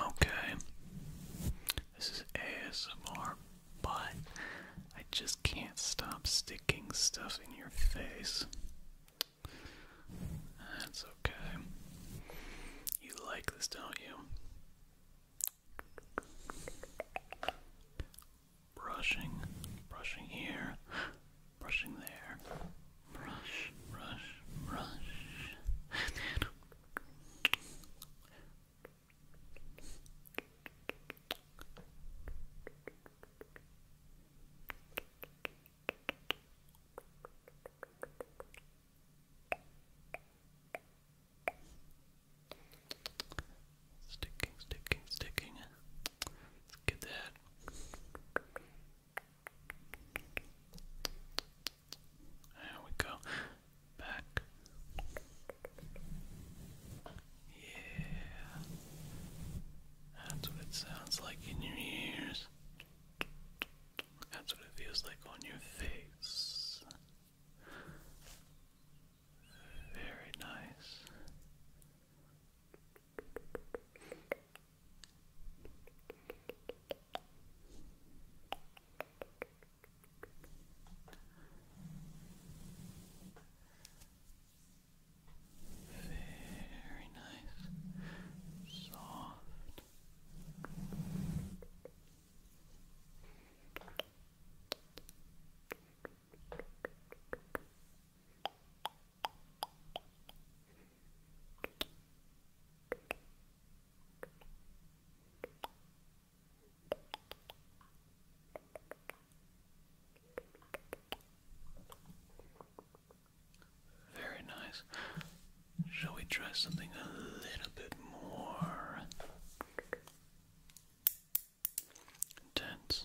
Okay. This is ASMR, but I just can't stop sticking stuff in your face. That's okay. You like this, don't you? Brushing, brushing here, brushing there. Brush, brush, brush. Sticking, sticking, sticking. Let's get that. There we go. Back. Yeah. That's what it sounds like in your ears. That's what it feels like on your face. Very nice. Very nice, soft. Very very nice. Shall we try something a little bit more intense?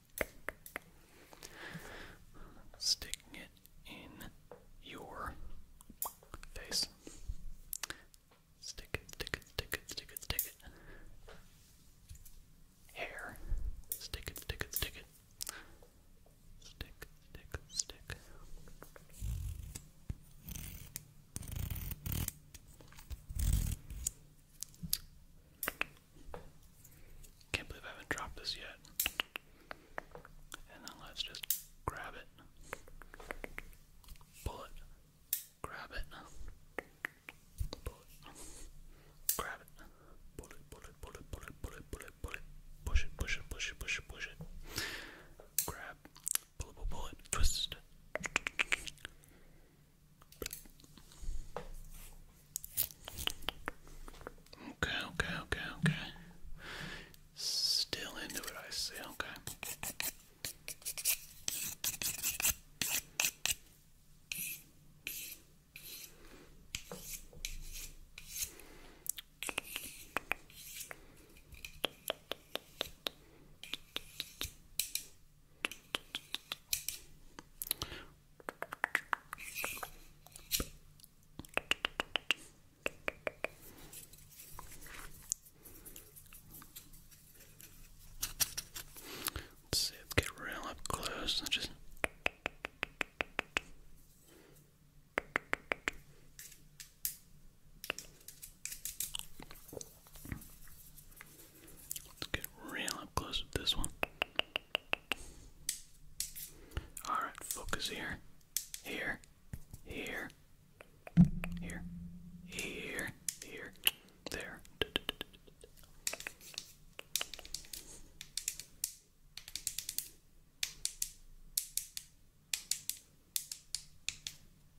Sticking it in your face. Stick it, stick it, stick it, stick it, stick it. Hair. Stick it, stick it, stick it. Stick, stick, stick. Can't believe I haven't dropped this yet. And then let's just grab it. Pull it. Grab it. Pull it. Grab it. Pull it, pull it, pull it, pull it, pull it, Push it, push it, push it, push it, push it. Grab. Pull it, pull it, pull it. Okay, okay, okay, okay. Still into it, I see. Okay. Let's see, let's get real up close and just. Let's get real up close with this one. Alright, focus here. Here. Here. Here. Here. Here. There.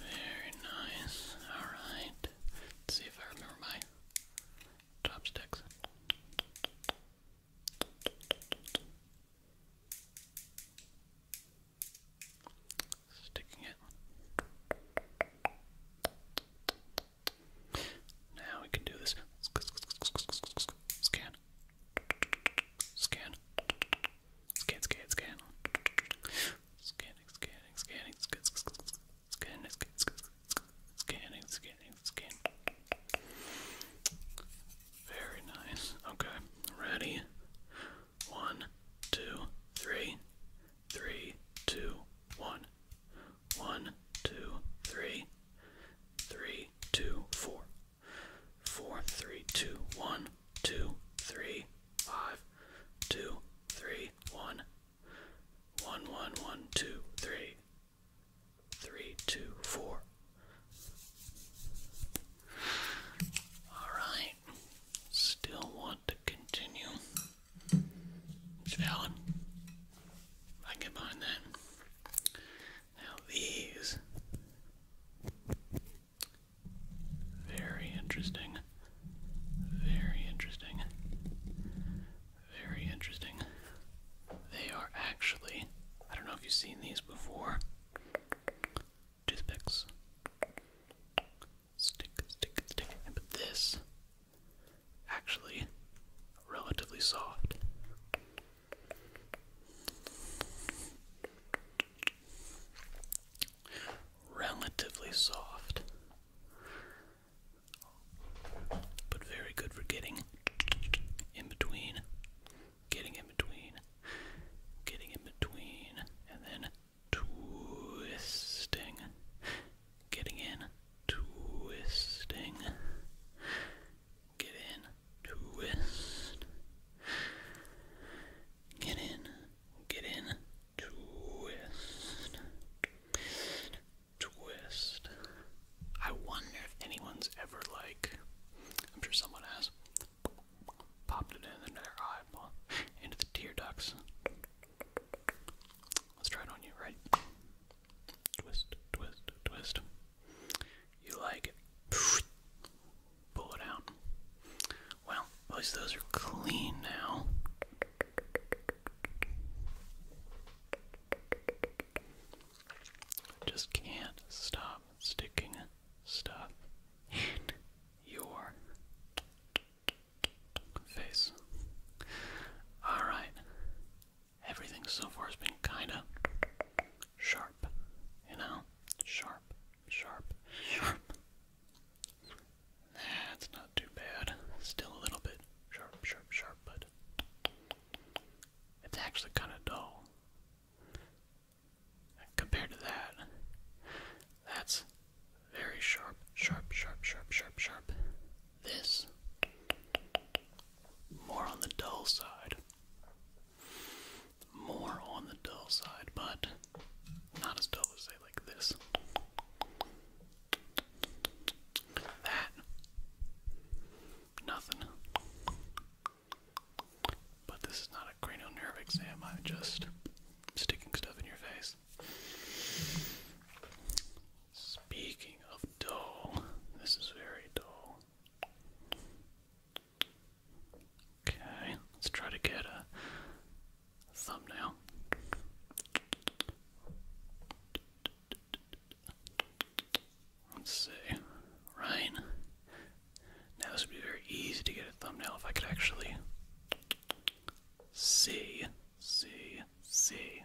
Very nice. Alright. see if I remember my chopsticks. Sticking it. Now we can do this. Scan. Scan. Scan, scan, scan. Scanning, scanning, scanning, scan, scanning, scanning, scanning, scan. Very nice. Okay, ready. One, two, three, three, two, one. One, two, three, three, two, four. Four, three, two, one, two, three, five, two, three, one, one, one, one, two, three, three, two, four. Alright. Still want to continue. It's I can get that. Now these very interesting. Very interesting. Very interesting. They are actually, I don't know if you've seen these before, toothpicks. Stick, stick, stick. But this, actually, relatively soft. Relatively soft, but very good for getting in between, getting in between, getting in between, and then twisting, getting in, twisting, get in, twist. Get in. Get in. Twist. Twist. I wonder if anyone's ever like I'm sure someone has popped it in their eyeball into the tear ducts. Let's try it on you, right? Twist, twist, twist. You like it pull it out. Well, at least those are clean now. Just can't stop sticking stuff in your face. Alright. Everything so far has been kinda sharp, you know? Sharp, sharp, sharp. That's not too bad. Still a little bit sharp, sharp, sharp, but it's actually kind of dull. Compared to that, that's very sharp, sharp, sharp, sharp, sharp, sharp. This, more on the dull side more on the dull side, but not as dull as say like this. That nothing. But this is not a cranial nerve exam, I'm just sticking stuff in your face. Speaking of dull, this is very dull. Okay, let's try to get a thumbnail. Let's see. Right. Now this would be very easy to get a thumbnail if I could actually see, see, see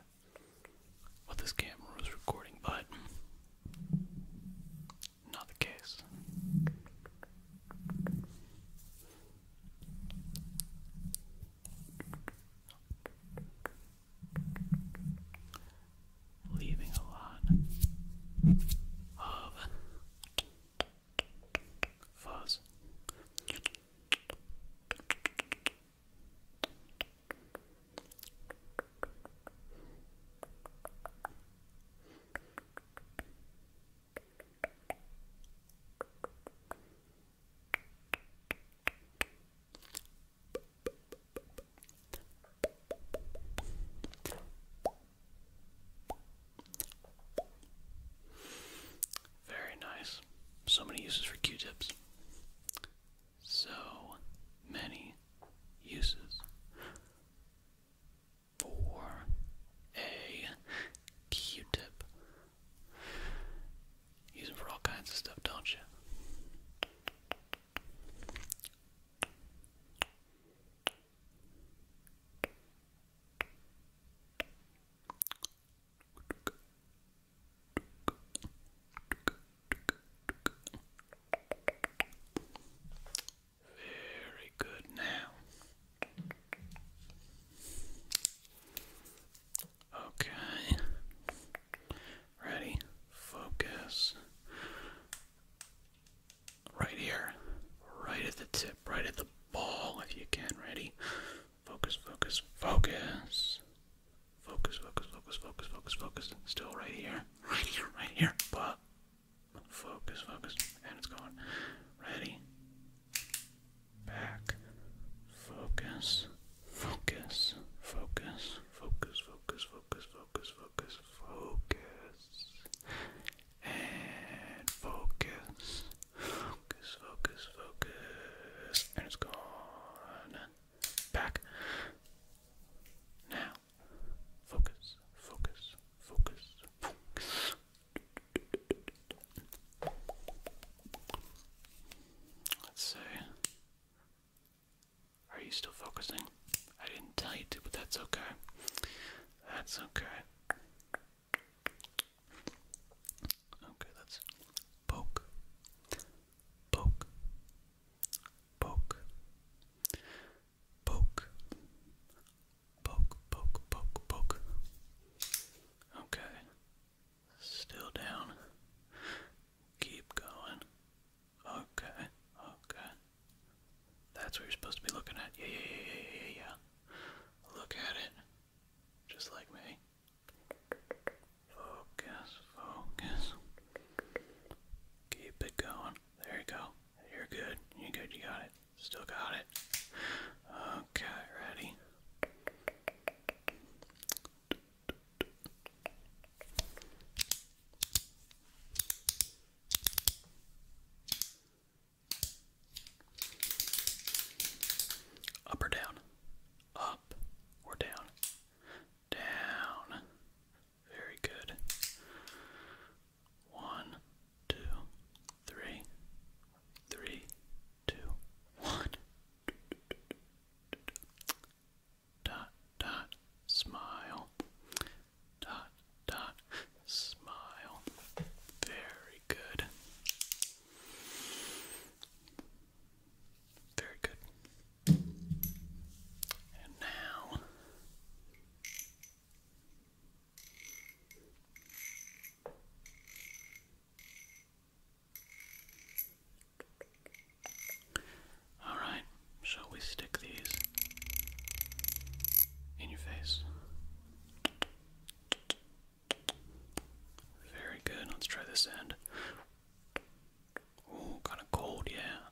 what this camera was recording, but not the case. Leaving a lot of fuzz. Very nice. So many uses for Q tips. So many uses for a Q-tip. Use them for all kinds of stuff, don't you? Very good now. Okay. Ready? Focus. Right here. Right at the tip. Right at the ball if you can. Ready? Focus, focus, focus. Focus, focus, focus, focus, focus, focus. Still right here. Right here, right here. But Focus, focus, and it's gone. Ready? Back. Focus, focus, focus, focus, focus, focus, focus, focus, And focus. Focus, focus, focus. And it's gone. Back. Now. Focus, focus, focus. Let's see. Are you still focusing? I didn't tell you to, but that's okay. That's okay. Okay, that's poke, poke, poke, Poke. Poke, poke, poke, poke. Okay. Still down. Keep going. Okay, okay. That's what you're supposed to be looking at. Yeah, yeah, yeah, yeah, yeah, yeah. Look at it. Just like me. Focus, focus. Keep it going. There you go. You're good. you good. You got it. Still got it. Okay, ready? Up or down? Up or down? Down. Very good. One, two, three, three, two, one. Dot, dot, smile. Dot, dot, smile. Very good. Very good. And now all right, shall we stick these in your face? Very good. Let's try this end. Oh, kind of cold, yeah.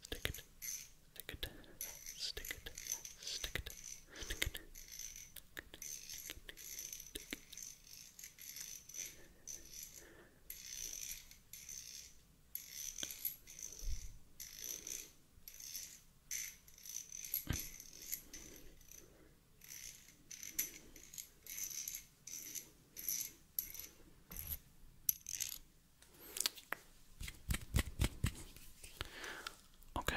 Stick it. Stick it. Stick it. Stick it. Stick it. Stick it. Okay.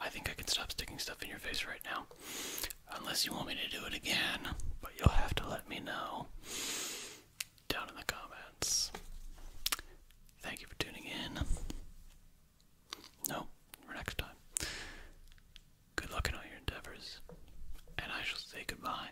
I think I can stop sticking stuff in your face right now. Unless you want me to do it again, but you'll have to let me know down in the comments. Thank you for tuning in. No, for next time. Good luck in all your endeavors, and I shall say goodbye.